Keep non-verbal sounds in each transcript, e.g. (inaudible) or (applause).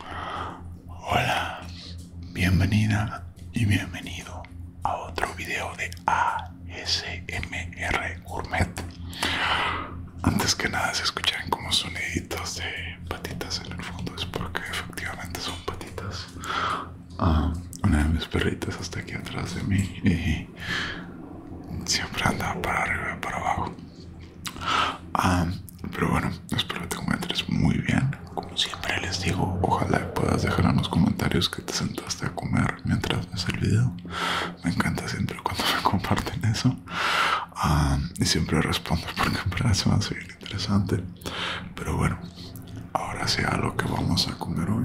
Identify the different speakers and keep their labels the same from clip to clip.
Speaker 1: Hola, bienvenida y bienvenido a otro video de ASMR Gourmet. Antes que nada, se escuchan como soniditos de patitas en el fondo, es porque efectivamente son patitas. Ah, una de mis perritas está aquí atrás de mí y siempre anda para arriba y para abajo. Ah, pero bueno, espero que te encuentres muy bien. Como siempre les digo, ojalá puedas dejar en los comentarios que te sentaste a comer mientras ves el video. Me encanta siempre cuando (laughs) me comparten eso. Ah, y siempre respondo porque parece va interesante. Pero bueno, ahora sea lo que vamos a comer hoy.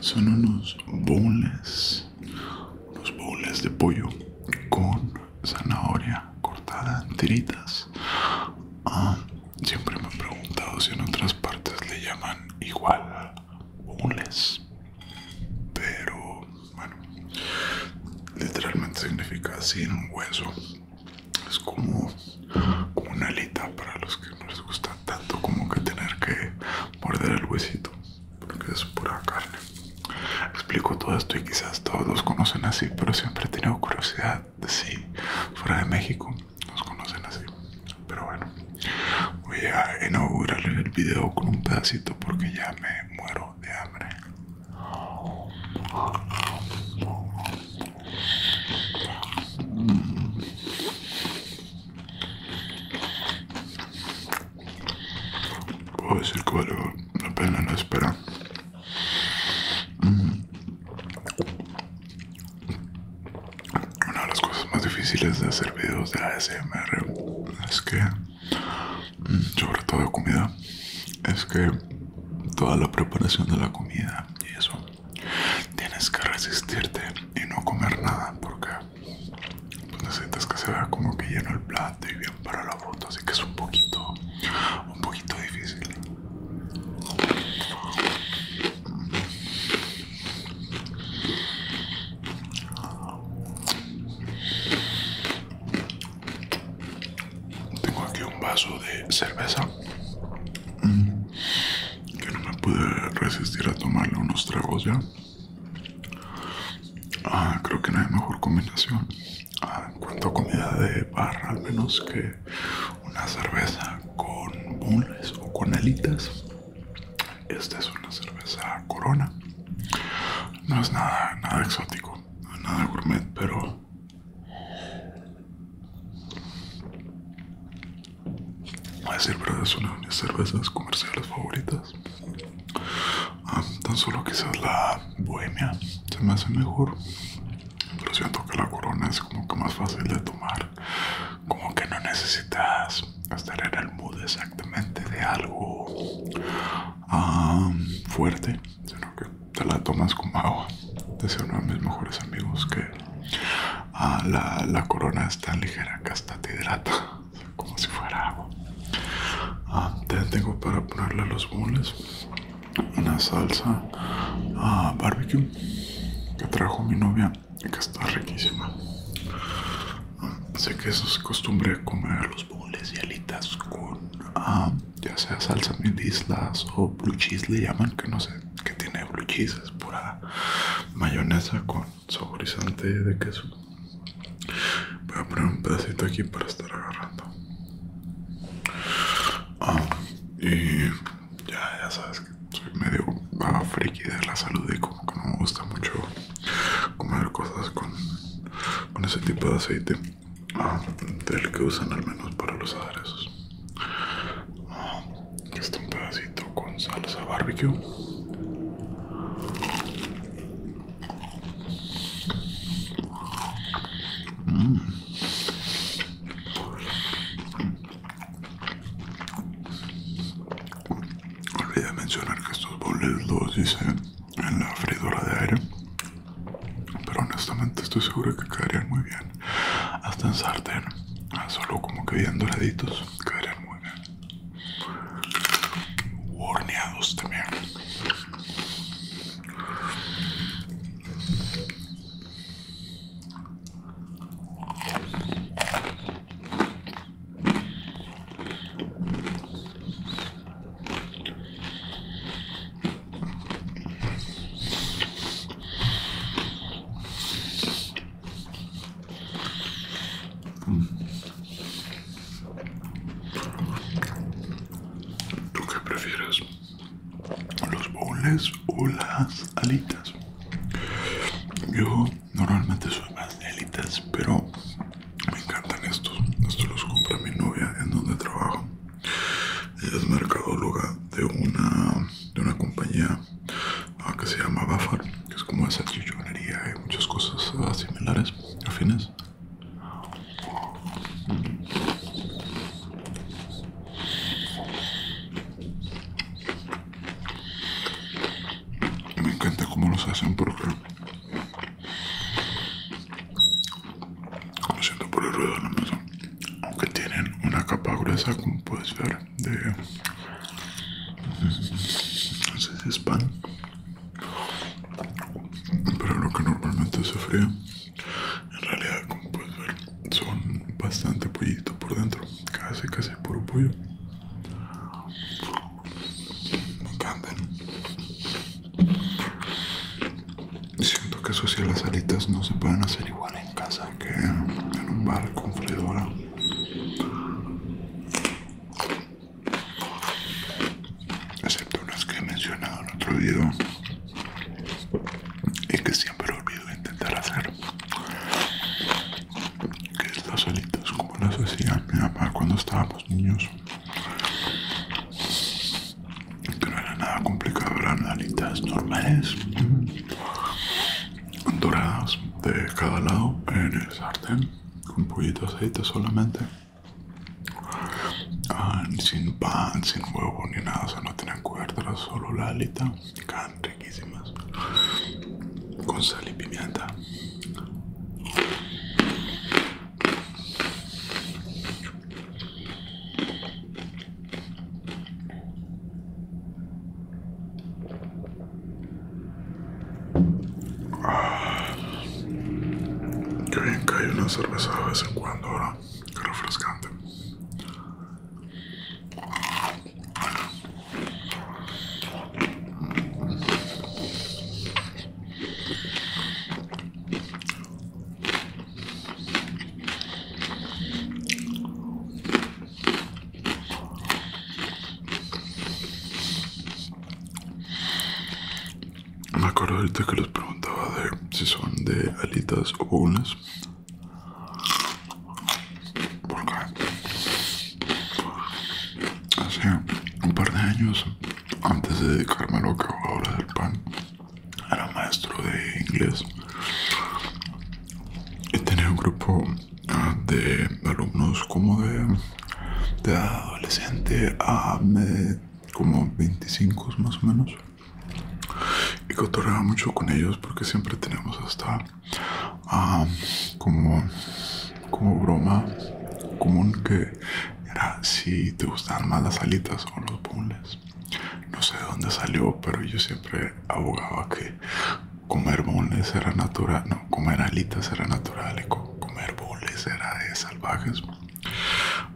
Speaker 1: son unos bowls los de pollo con zanahoria cortada en tiritas. Ah, siempre me he preguntado si en otras partes le llaman igual boles. Pero bueno, literalmente significa así en un hueso. Es como, como una alita para los que no les gusta tanto como que tener que morder el huesito porque es pura carne. Explico todo esto y quizás todos conocen así, pero siempre he tenido curiosidad de si fuera de México nos conocen así. Pero bueno, voy a inaugurar el video con un pedacito porque ya me muero de hambre. Puedo decir que vale la pena la espera. Una de las cosas más difíciles de hacer videos de ASMR es que, sobre todo de comida, es que toda la preparación de la comida y eso tienes que resistirte y no comer nada porque necesitas que se vea como que lleno el plato y bien para la foto, así que es un poquito, un poquito difícil. Tengo aquí un vaso de cerveza que no me pude resistir a tomarle unos tragos ya. Ah, creo que no hay mejor combinación. Ah, en cuanto a comida de barra, al menos que una cerveza con bules o con alitas. Esta es una cerveza corona. No es nada, nada exótico, nada gourmet, pero a decir verdad es una de mis cervezas comerciales favoritas. Ah, tan solo quizás la bohemia se me hace mejor. Pero siento que la corona es como que más fácil de tomar. Como que no necesitas estar en el mood exactamente de algo ah, fuerte, sino que te la tomas como agua. Decía uno de mis mejores amigos que ah, la, la corona es tan ligera que hasta te hidrata como si fuera agua. Ah, tengo para ponerle a los bulles una salsa a ah, barbecue que trajo mi novia y que está riquísima. Ah, sé que eso es costumbre comer los bulles y alitas con ah, ya sea salsa mil islas o blue cheese le llaman, que no sé que tiene blue cheese, es pura mayonesa con saborizante de queso Voy a poner un pedacito aquí para estar agarrando. Ah, y ya, sabes que soy medio ah, friki de la salud y como que no me gusta mucho comer cosas con, ese tipo de aceite ah, del que usan al menos para los aderezos. aquí un pedacito con salsa barbecue. Mm. Olvidé mencionar que estos boles los hice en la freidora de aire. Pero honestamente estoy seguro que quedarían muy bien. Hasta en sartén. Solo como que bien doraditos. Quedarían muy bien horneados también. ¿Tú qué prefieres? ¿Los bowls o las alitas? Yo normalmente soy más de alitas, pero me encantan estos. Estos los compra mi novia en donde trabajo. Ella es mercadóloga de una, de una compañía ah, que se llama Bafar, que es como esa chillonería y muchas cosas similares, afines me encanta cómo los hacen porque lo siento por el ruido no aunque tienen una capa gruesa como puedes ver de no pan pero lo que normalmente se fría, en realidad, como puedes ver, son bastante pollitos por dentro, casi, casi puro pollo. Me encantan. Siento que eso sí, las alitas no se pueden hacer igual en casa que en un bar con freidora excepto unas que he mencionado en otro video y que siempre olvido intentar hacer que es las alitas como las hacía mi mamá cuando estábamos niños pero no era nada complicado eran alitas normales doradas de cada lado en el sartén con de aceite solamente Ah, sin pan, sin huevo ni nada, o sea, no tienen cuerdas, solo la alita. can riquísimas. Con sal y pimienta. Ah, qué bien que hay una cerveza de vez en cuando ahora. Qué refrescante. Me acuerdo ahorita que les preguntaba de si son de alitas o unas. Porque hace un par de años, antes de dedicarme a lo que hago ahora del pan, era maestro de inglés y tenía un grupo ah, de alumnos como de, de adolescente a como 25 más o menos. Y cotorreaba mucho con ellos porque siempre tenemos hasta ah, como, como broma común que era si te gustaban más las alitas o los boneless. No sé de dónde salió, pero yo siempre abogaba que comer bulles era natural, no, comer alitas era natural y comer bulles era de salvajes.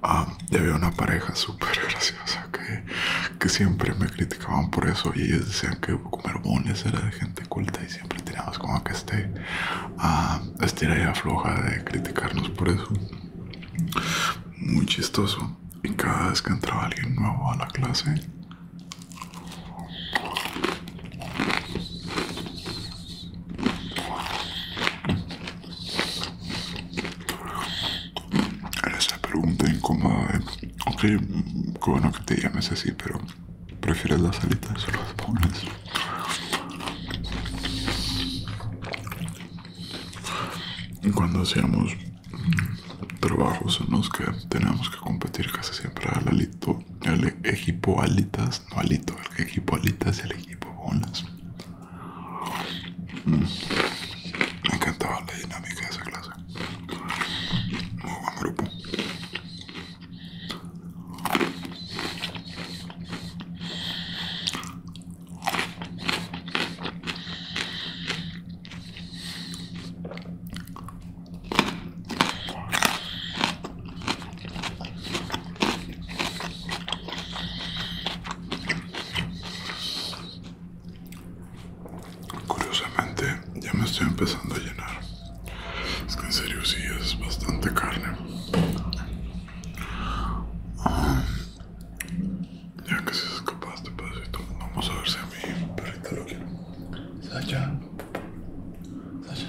Speaker 1: Ah, y había una pareja súper graciosa que, que siempre me criticaban por eso y ellos decían que comer bones era de gente culta y siempre teníamos como que este ah, estira y afloja de criticarnos por eso. Muy chistoso. Y cada vez que entraba alguien nuevo a la clase, era esa pregunta incómoda de, eh. ok, qué bueno que te llames así, pero ¿prefieres las alitas o pones Y Cuando hacíamos trabajos en los que teníamos que competir casi siempre al alito, al equipo alitas, Malito, El equipo alitas es el equipo bolas. Mm. Me encantaba la dinámica de esa clase. Muy buen grupo. Curiosamente, ya me estoy empezando a llenar. Es que en serio sí es bastante carne. Ah, ya que si se escapaste pedacito, vamos a ver si a mi perrita lo quiero. Sacha. Sacha.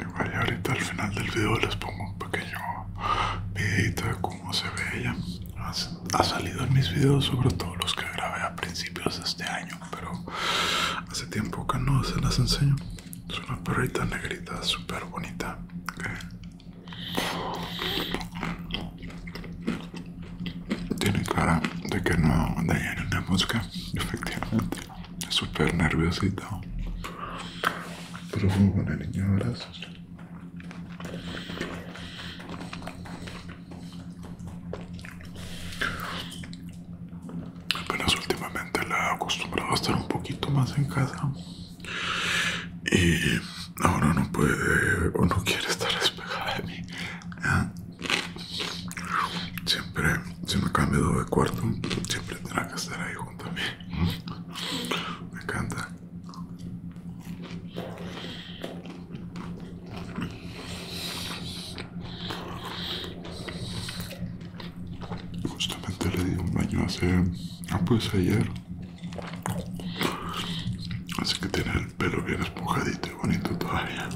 Speaker 1: Igual vaya ahorita al final del video les pongo un pequeño medito de cómo se ve ella. Ha salido en mis videos, sobre todo los que grabé a principios de este año, pero hace tiempo que no se las enseño. Es una perrita negrita súper bonita. Tiene cara de que no dañaron una mosca, efectivamente súper nerviosita, Pero bueno, el niño abrazos. Apenas últimamente la he acostumbrado a estar un poquito más en casa. Y ahora no puede o no quiere estar despejada de mí. Siempre, si me cambio de cuarto, siempre tendrá que estar ahí junto a mí. Me encanta. Justamente le di un baño hace. Ah, pues ayer. Así que tiene el pelo bien esponjadito y bonito todavía.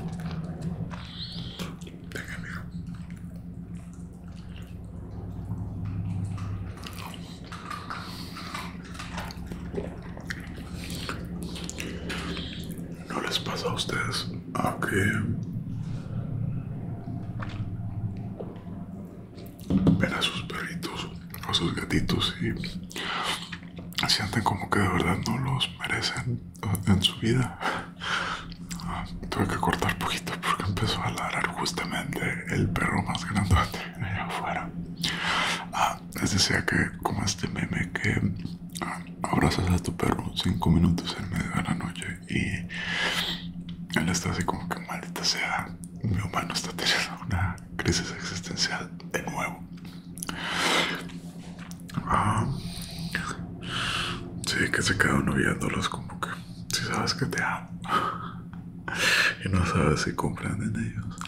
Speaker 1: No les pasa a ustedes, a que ven a sus perritos o sus gatitos y sienten como que de verdad no los merecen en su vida. Ah, tuve que cortar poquito porque empezó a ladrar justamente el perro más grande (laughs) allá afuera. Ah, les decía que como este meme que ah, abrazas a tu perro cinco minutos en medio de la noche y él está así como que maldita sea, mi humano está teniendo una crisis existencial de nuevo. Ah, sí, que se quedan noviándolos como que si sabes que te amo (laughs) y no sabes si compran en ellos.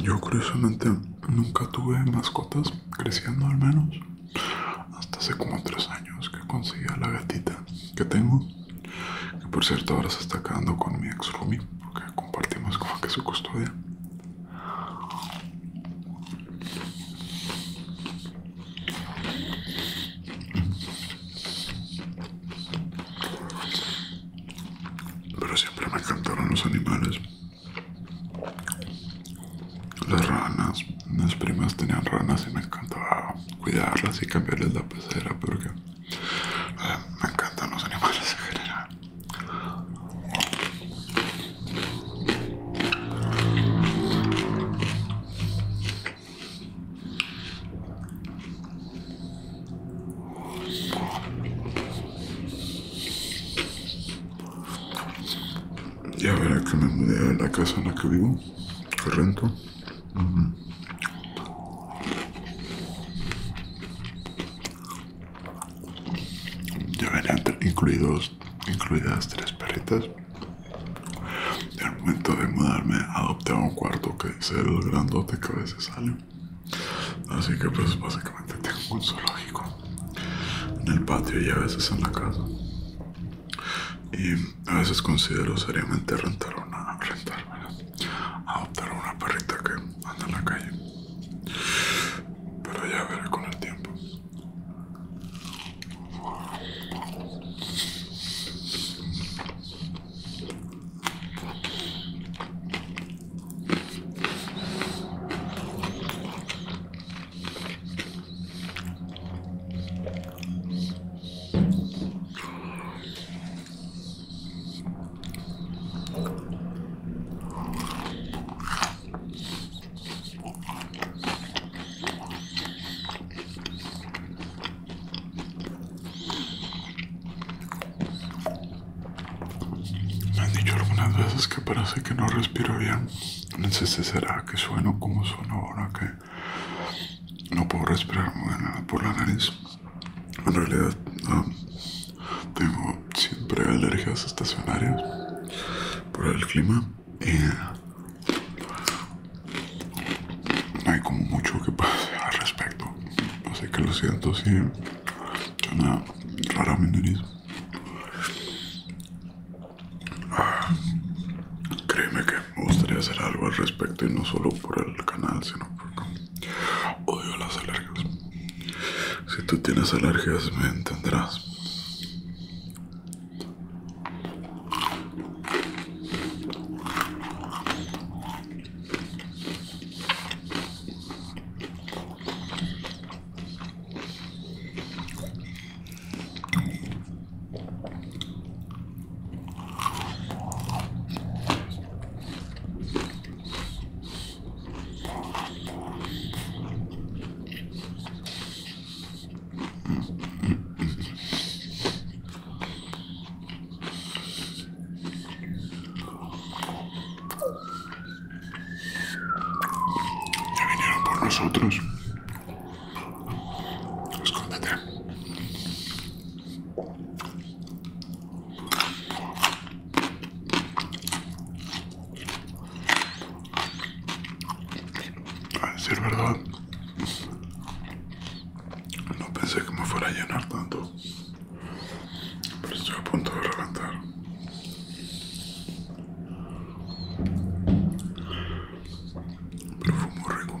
Speaker 1: Yo curiosamente nunca tuve mascotas creciendo al menos hasta hace como tres años que conseguí a la gatita que tengo que por cierto ahora se está quedando con mi ex Rumi, porque compartimos como que su custodia. Pero siempre me encantaron los animales, las ranas, mis primas tenían ranas y me encantaba cuidarlas y cambiarles la pecera porque eh, me encantan los animales en general. Ya verá que me mudé a la casa en la que vivo, que rento. Ya venían incluidos, incluidas tres perritas. Y al momento de mudarme adopté un cuarto que es el grandote que a veces sale. Así que pues básicamente tengo un zoológico en el patio y a veces en la casa. Y a veces considero seriamente rentar una, rentar, adoptar una perrita que anda en la calle. Pero ya veré con el tiempo. Me han dicho algunas veces que parece que no respiro bien. No sé si será que sueno como sueno ahora que no puedo respirar por la nariz. En realidad, tengo siempre alergias estacionarias por el clima y no hay como mucho que pase al respecto. Así que lo siento si rara mi nariz. Ah, créeme que me gustaría hacer algo al respecto y no solo por el canal, sino porque odio las alergias. Si tú tienes alergias, me entenderás. Ya vinieron por nosotros. Escóndete. A decir verdad, no pensé que me fuera a llenar tanto, pero estoy a punto de reventar. Pero fue muy rico.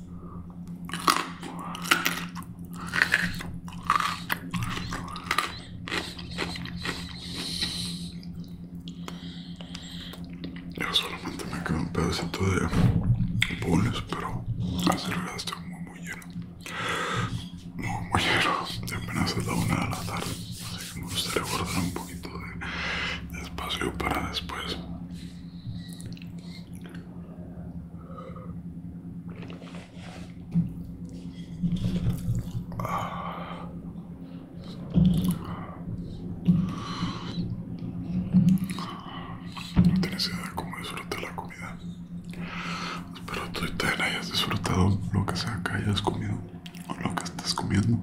Speaker 1: yo solamente me quedo un pedacito de bols, pero hace verdad estoy muy, muy lleno. Muy, muy lleno. apenas es la una de la tarde, así que me gustaría guardar un poquito de espacio para después. No tienes idea cómo disfrutar la comida. Espero tú también hayas disfrutado lo que sea que hayas comido o lo que estés comiendo.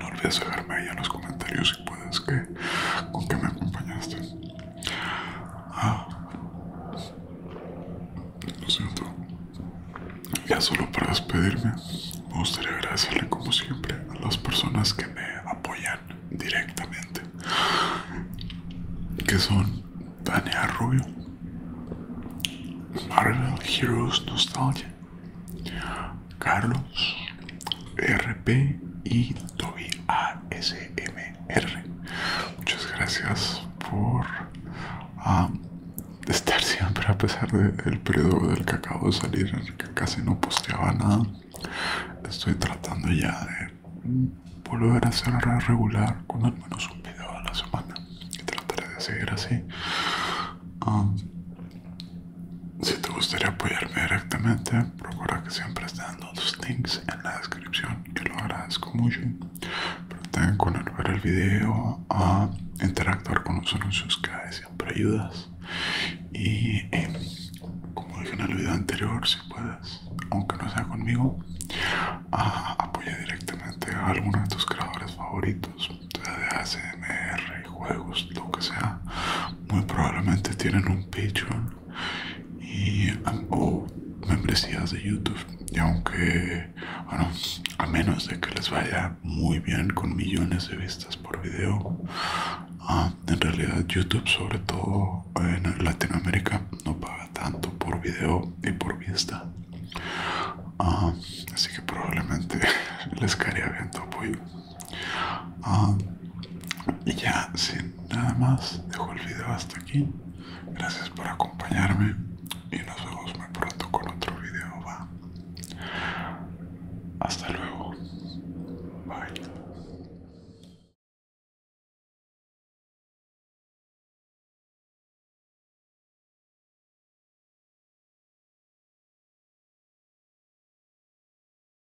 Speaker 1: no olvides dejarme ahí en los comentarios puedes, que con que me acompañaste. Ah, lo siento. Ya solo para despedirme, me gustaría agradecerle como siempre a las personas que me apoyan directamente, que son Dania Rubio, Marvel Heroes Nostalgia, Carlos RP y Toby ASMR. Muchas gracias por um, estar siempre a pesar del periodo del que acabo de salir en el que casi no posteaba nada. Estoy tratando ya de volver a ser regular con al menos un video a la semana y trataré de seguir así. Um, si te gustaría apoyarme directamente, procura que siempre estén los links en la descripción Yo lo agradezco mucho. Pero con el ver el video a interactuar con los anuncios que siempre ayudas. Y eh, como dije en el video anterior, si puedes, aunque no sea conmigo, apoya directamente a alguno de tus creadores favoritos, sea de ASMR, juegos, lo que sea. Muy probablemente tienen un Patreon y ah, o oh, membresías de YouTube. Y aunque, bueno, a menos de que les vaya muy bien con millones de vistas por video, ah, en realidad YouTube, sobre todo en Latinoamérica, no paga tanto por video y por vista. Ah, así que probablemente (laughs) les caería bien tu apoyo y ah, ya, sin nada más, dejo el video hasta aquí. Gracias por acompañarme y nos vemos muy pronto con otro video. Va. Hasta luego. Bye.